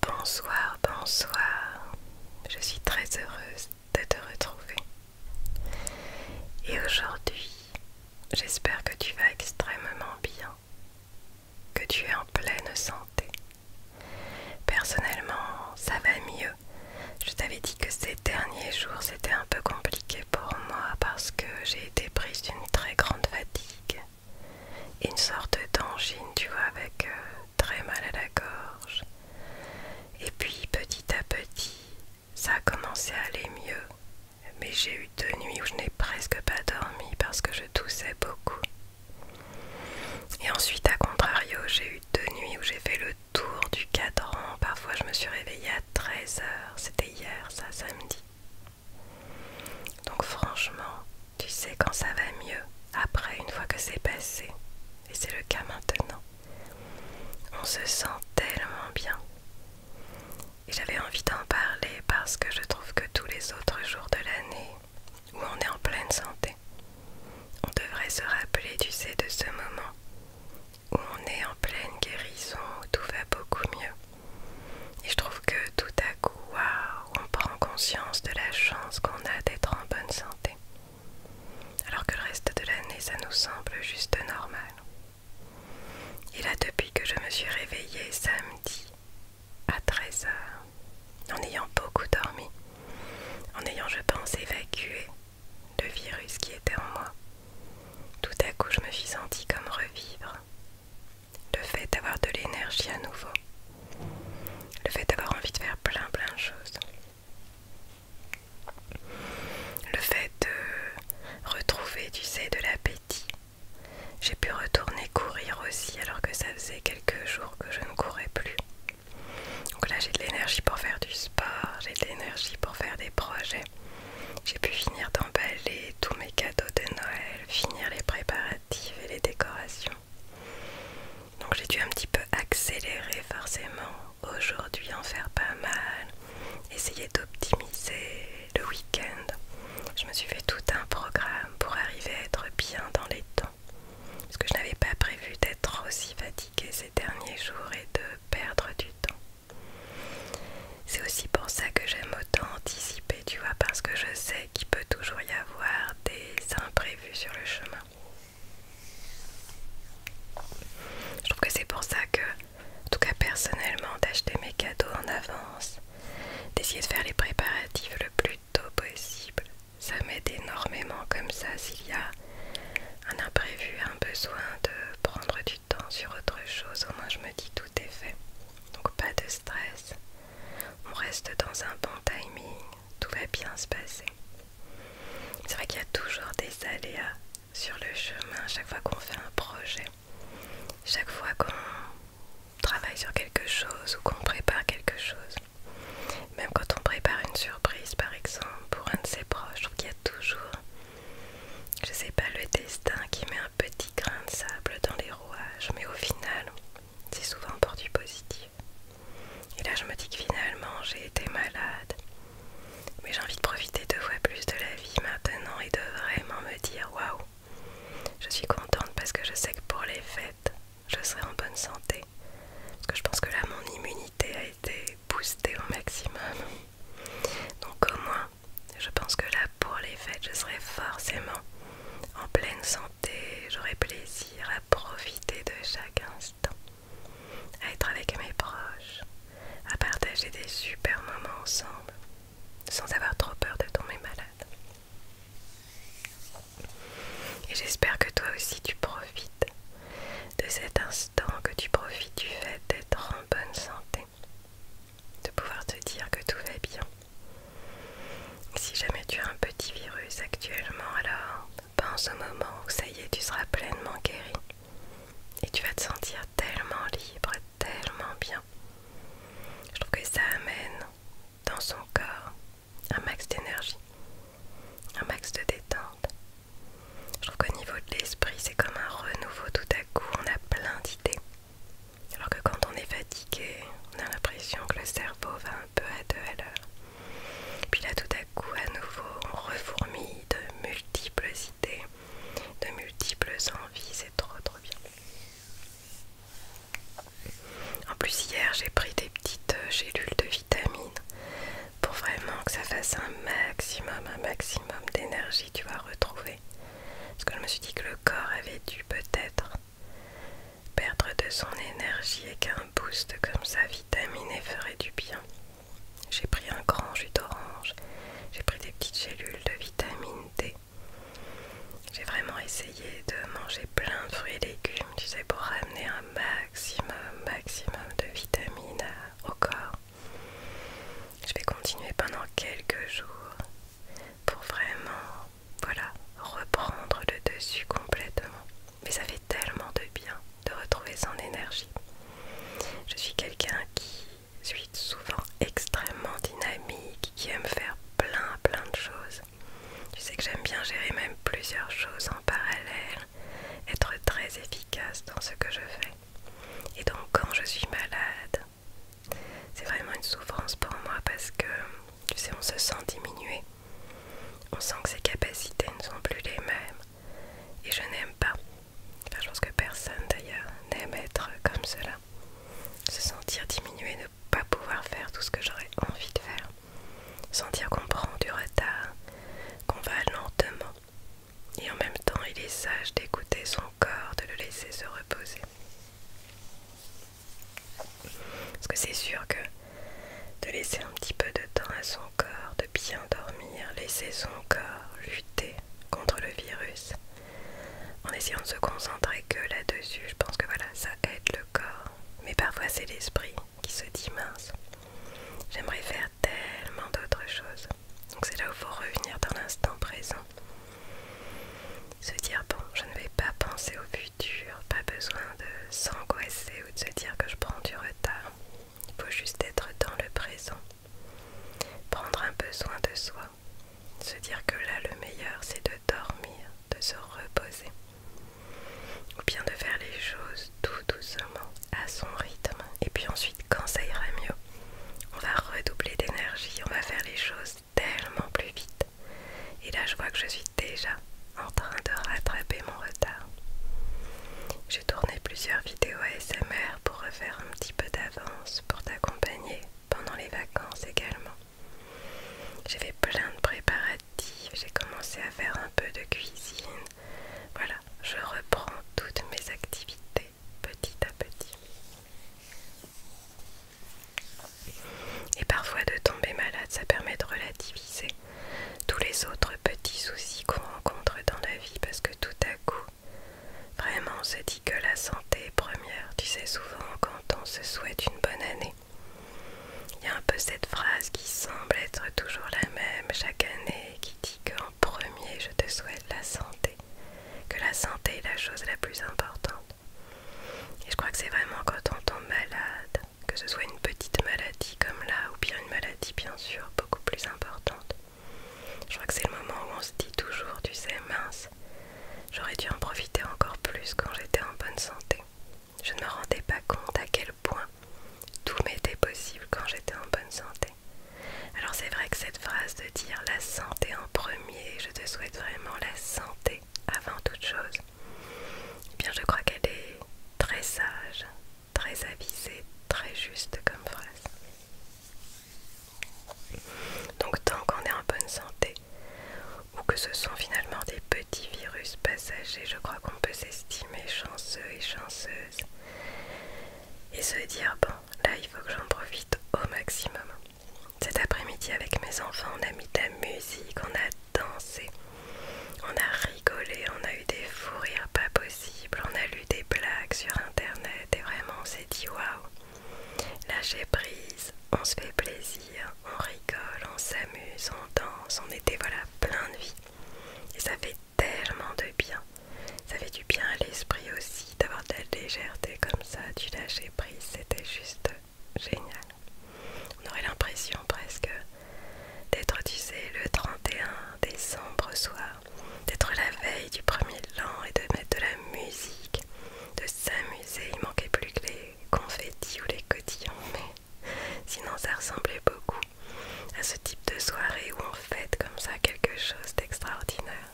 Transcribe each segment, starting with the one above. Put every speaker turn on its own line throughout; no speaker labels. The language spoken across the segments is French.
Bonsoir, bonsoir. Je suis très heureuse de te retrouver. Et aujourd'hui, j'espère que tu vas extrêmement bien, que tu es en pleine santé. Personnellement, ça va mieux. Je t'avais dit que ces derniers jours, c'était un peu compliqué pour moi parce que j'ai été prise d'une très grande fatigue une sorte d'angine, tu vois, avec euh, très mal à la gorge. Et puis petit à petit, ça a commencé à aller mieux. Mais j'ai eu deux nuits où je n'ai presque pas dormi parce que je toussais beaucoup. Et ensuite, à contrario, j'ai eu deux nuits où j'ai fait le tour du cadran. Parfois, je me suis réveillée à 13h. C'était hier, ça, samedi. Donc franchement, tu sais quand ça va mieux, après, une fois que c'est passé, et c'est le cas maintenant, on se sent tellement bien. Et j'avais envie d'en parler parce que je trouve que tous les autres jours de l'année où on est en pleine santé, on devrait se rappeler, tu sais, de ce moment où on est en pleine guérison, où tout va beaucoup mieux. Et je trouve que tout à coup, waouh, on prend conscience de la chance qu'on a d'être en bonne santé, alors que le reste de l'année ça nous semble juste normal. Et là, depuis que je me suis réveillée samedi à 13h, en ayant beaucoup dormi, en ayant, je pense, évacué le virus qui était en moi, tout à coup je me suis sentie comme revivre le fait d'avoir de l'énergie à nouveau, le fait d'avoir envie de faire plein plein de choses, le fait de retrouver, tu sais, de l'appétit. J'ai pu retourner courir aussi alors que ça faisait quelques jours que je ne courais plus. Donc là j'ai de l'énergie pour faire du sport, j'ai de l'énergie pour faire des projets. J'ai pu finir d'emballer tous mes cadeaux de Noël, finir les préparatifs et les décorations. Donc j'ai dû un petit peu accélérer forcément aujourd'hui, en faire pas mal, essayer d'optimiser le week-end. Je me suis fait tout un programme pour arriver à être bien dans les temps. Parce que je n'avais pas prévu d'être aussi fatiguée ces derniers jours et de perdre du temps. C'est aussi pour ça que j'aime autant anticiper, tu vois, parce que je sais qu'il peut toujours y avoir des imprévus sur le chemin. Je trouve que c'est pour ça que, en tout cas personnellement, d'acheter mes cadeaux en avance, d'essayer de faire les préparatifs le plus tôt possible, ça m'aide énormément comme ça s'il y a un imprévu, un besoin de prendre du temps sur autre chose, au moins je me dis tout est fait. Donc pas de stress, on reste dans un bon timing, tout va bien se passer. C'est vrai qu'il y a toujours des aléas sur le chemin chaque fois qu'on fait un projet, chaque fois qu'on travaille sur quelque chose ou qu'on prépare quelque chose. Même quand on prépare une surprise par exemple pour un de ses proches, je y a toujours, je sais pas, le destin qui met un petit grain de sable dans les rouages, mais au final, c'est souvent pour du positif. Et là, je me dis que finalement, j'ai été malade. Mais j'ai envie de profiter deux fois plus de la vie maintenant et de vraiment me dire waouh, je suis contente parce que je sais que pour les fêtes, je serai en bonne santé. Parce que je pense que là, mon immunité a été boostée au maximum. Donc, au moins, je pense que là, pour les fêtes, je serai forcément en pleine santé J'aurais j'aurai plaisir à profiter de chaque instant, à être avec mes proches, à partager des super moments ensemble, sans avoir trop peur de tomber malade. Et j'espère que toi aussi tu profites de cet instant, que tu profites du fait d'être en bonne santé, de pouvoir te dire que tout va bien si jamais tu as un petit virus actuellement, alors pense au moment où ça y est, tu seras pleinement guéri. Et tu vas te sentir tellement libre, tellement bien. Je trouve que ça amène dans son corps un max d'énergie, un max de détente. Je trouve qu'au niveau de l'esprit, c'est comme un renouveau tout à coup, on a plein d'idées. Alors que quand on est fatigué, on a l'impression que le cerveau va peu à deux à l'heure. Puis là, tout à coup, à nouveau, on de multiples idées, de multiples envies, c'est trop trop bien. En plus, hier, j'ai pris des petites euh, gélules de vitamines pour vraiment que ça fasse un maximum, un maximum d'énergie, tu vas retrouver. Parce que je me suis dit que le corps avait dû peut-être Perdre de son énergie et qu'un boost comme ça vitamine e ferait du bien. J'ai pris un grand jus d'orange, j'ai pris des petites cellules de vitamine D. J'ai vraiment essayé de manger plein de fruits et légumes, tu sais, pour ramener un maximum, maximum de vitamine au corps. Je vais continuer pendant quelques jours pour vraiment, voilà, reprendre le dessus complètement. Mais ça fait tellement de bien de retrouver son énergie. Je suis quelqu'un qui suis souvent extrêmement dynamique, qui aime faire plein plein de choses. Tu sais que j'aime bien gérer même plusieurs choses en parallèle, être très efficace dans ce que je fais. Et donc quand je suis malade, c'est vraiment une souffrance pour moi parce que tu sais, on se sent diminué. On sent que ses capacités ne sont plus les mêmes. Et je n'aime pas. je pense que personne d'ailleurs n'aime être comme cela. Se sentir diminué, ne pas pouvoir faire tout ce que j'aurais envie de faire. Sentir qu'on prend du retard, qu'on va lentement. Et en même temps, il est sage d'écouter son corps, de le laisser se reposer. Parce que c'est sûr que de laisser un petit peu de temps à son corps, de bien dormir, laisser son corps lutter contre le virus, en essayant de se concentrer que là-dessus, je pense que voilà, ça aide le corps. Mais parfois c'est l'esprit qui se dit mince. J'aimerais faire tellement d'autres choses. Donc c'est là où il faut revenir dans l'instant présent. Se dire, bon, je ne vais pas penser au futur, pas besoin de s'angoisser, de se dire que je prends du retard. Il faut juste être dans le présent. Prendre un besoin de soi. Se dire que là, le meilleur, c'est de dormir, de se reposer. Ou bien de faire les choses tout doucement, à son rythme. Et puis ensuite, quand ça ira mieux, on va redoubler d'énergie, on va faire les choses tellement plus vite. Et là, je vois que je suis déjà en train de rattraper mon retard. J'ai tourné plusieurs vidéos ASMR pour refaire un petit peu d'avance pour t'accompagner pendant les vacances également. J'ai fait plein de préparatifs, j'ai commencé à faire un peu de cuisine. Voilà, je reprends toutes mes activités petit à petit. Et parfois de tomber malade, ça permet de relativiser tous les autres petits soucis qu'on rencontre dans la vie parce que tout à coup, vraiment on se dit que la santé est première. Tu sais, souvent quand on se souhaite une bonne année, il y a un peu cette phrase qui semble être toujours la même chaque année qui dit qu'en premier je te souhaite la santé, que la santé est la chose la plus importante. Et je crois que c'est vraiment quand on tombe malade, que ce soit une petite maladie comme là ou bien une maladie bien sûr beaucoup plus importante. Je crois que c'est le moment où on se dit toujours, tu sais, mince, j'aurais dû en profiter encore plus quand j'étais en bonne santé. Je ne me rendais pas compte à quel point tout m'était possible quand j'étais en bonne santé. Alors c'est vrai que cette phrase de dire la santé en premier, je te souhaite vraiment la santé avant toute chose, et eh bien, je crois qu'elle est très sage, très avisée, très juste comme phrase. Donc, tant qu'on est en bonne santé, ou que ce sont finalement des petits virus passagers, je crois qu'on peut s'estimer chanceux et chanceuse et se dire bon, là il faut que j'en profite au maximum. Cet après-midi avec mes enfants, on a mis de la musique, on a danser. On a rigolé, on a eu des fous rires pas possibles, on a lu des blagues sur internet et vraiment on s'est dit waouh! Lâcher prise, on se fait plaisir, on rigole, on s'amuse, on danse, on était voilà plein de vie. Et ça fait tellement de bien. Ça fait du bien à l'esprit aussi d'avoir de la légèreté comme ça, du lâcher prise, c'était juste génial. On aurait l'impression presque d'être, tu sais, le 31 décembre soir, d'être la veille du premier l'an et de mettre de la musique, de s'amuser. Il manquait plus que les confettis ou les cotillons, mais sinon ça ressemblait beaucoup à ce type de soirée où on fête comme ça quelque chose d'extraordinaire.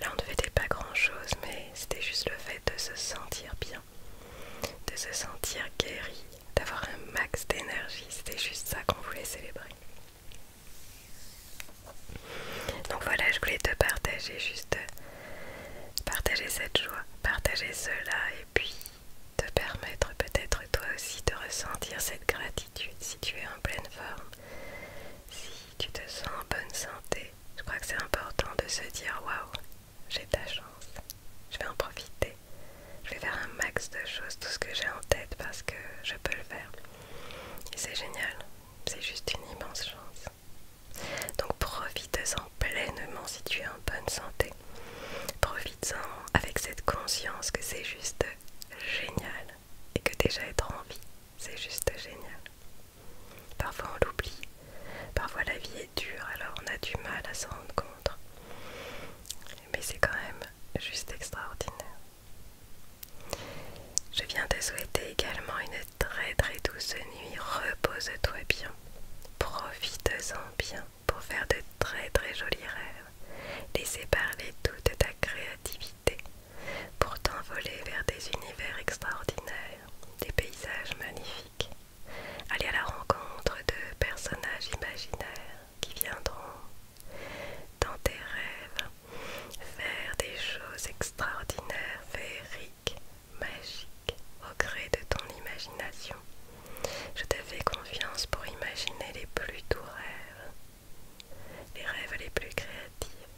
Là, on ne fêtait pas grand-chose, mais c'était juste le fait de se sentir bien de se sentir guéri, d'avoir un max d'énergie. C'était juste ça qu'on voulait célébrer. Donc voilà, je voulais te partager juste, partager cette joie, partager cela et puis te permettre peut-être toi aussi de ressentir cette gratitude si tu es en pleine forme, si tu te sens en bonne santé. Je crois que c'est important de se dire waouh, j'ai ta chance, je vais en profiter, je vais faire un max de choses, tout ce que j'ai en tête parce que je peux le faire. c'est génial, c'est juste une immense chance. Donc profite-en pleinement si tu es en bonne santé. Profite-en avec cette conscience que c'est juste génial et que déjà être en vie, c'est juste génial. Parfois on l'oublie, parfois la vie est dure, alors on a du mal à s'en rendre compte. Mais c'est quand même juste extraordinaire. Je viens te souhaiter également une très très douce nuit. Repose-toi bien. Profite-en bien pour faire de très très jolis rêves. Laissez parler toute ta créativité pour t'envoler vers des univers extraordinaires, des paysages magnifiques, aller à la rencontre de personnages imaginaires qui viendront dans tes rêves faire des choses extraordinaires, féeriques, magiques au gré de ton imagination. Je te fais confiance pour imaginer les plus doux rêves, les rêves les plus créatifs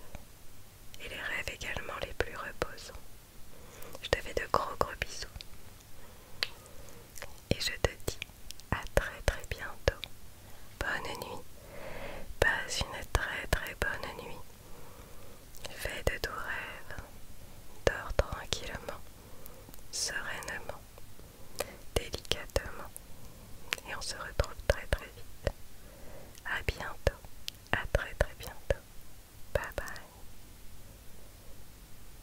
et les rêves également les plus reposants. Je te fais de gros gros bisous et je te dis à très très bientôt. Bonne nuit, passe une très très bonne nuit. Fais de doux rêves, dors tranquillement, sereinement, délicatement et on se retrouve très très vite. À bientôt, à très très bientôt. Bye bye.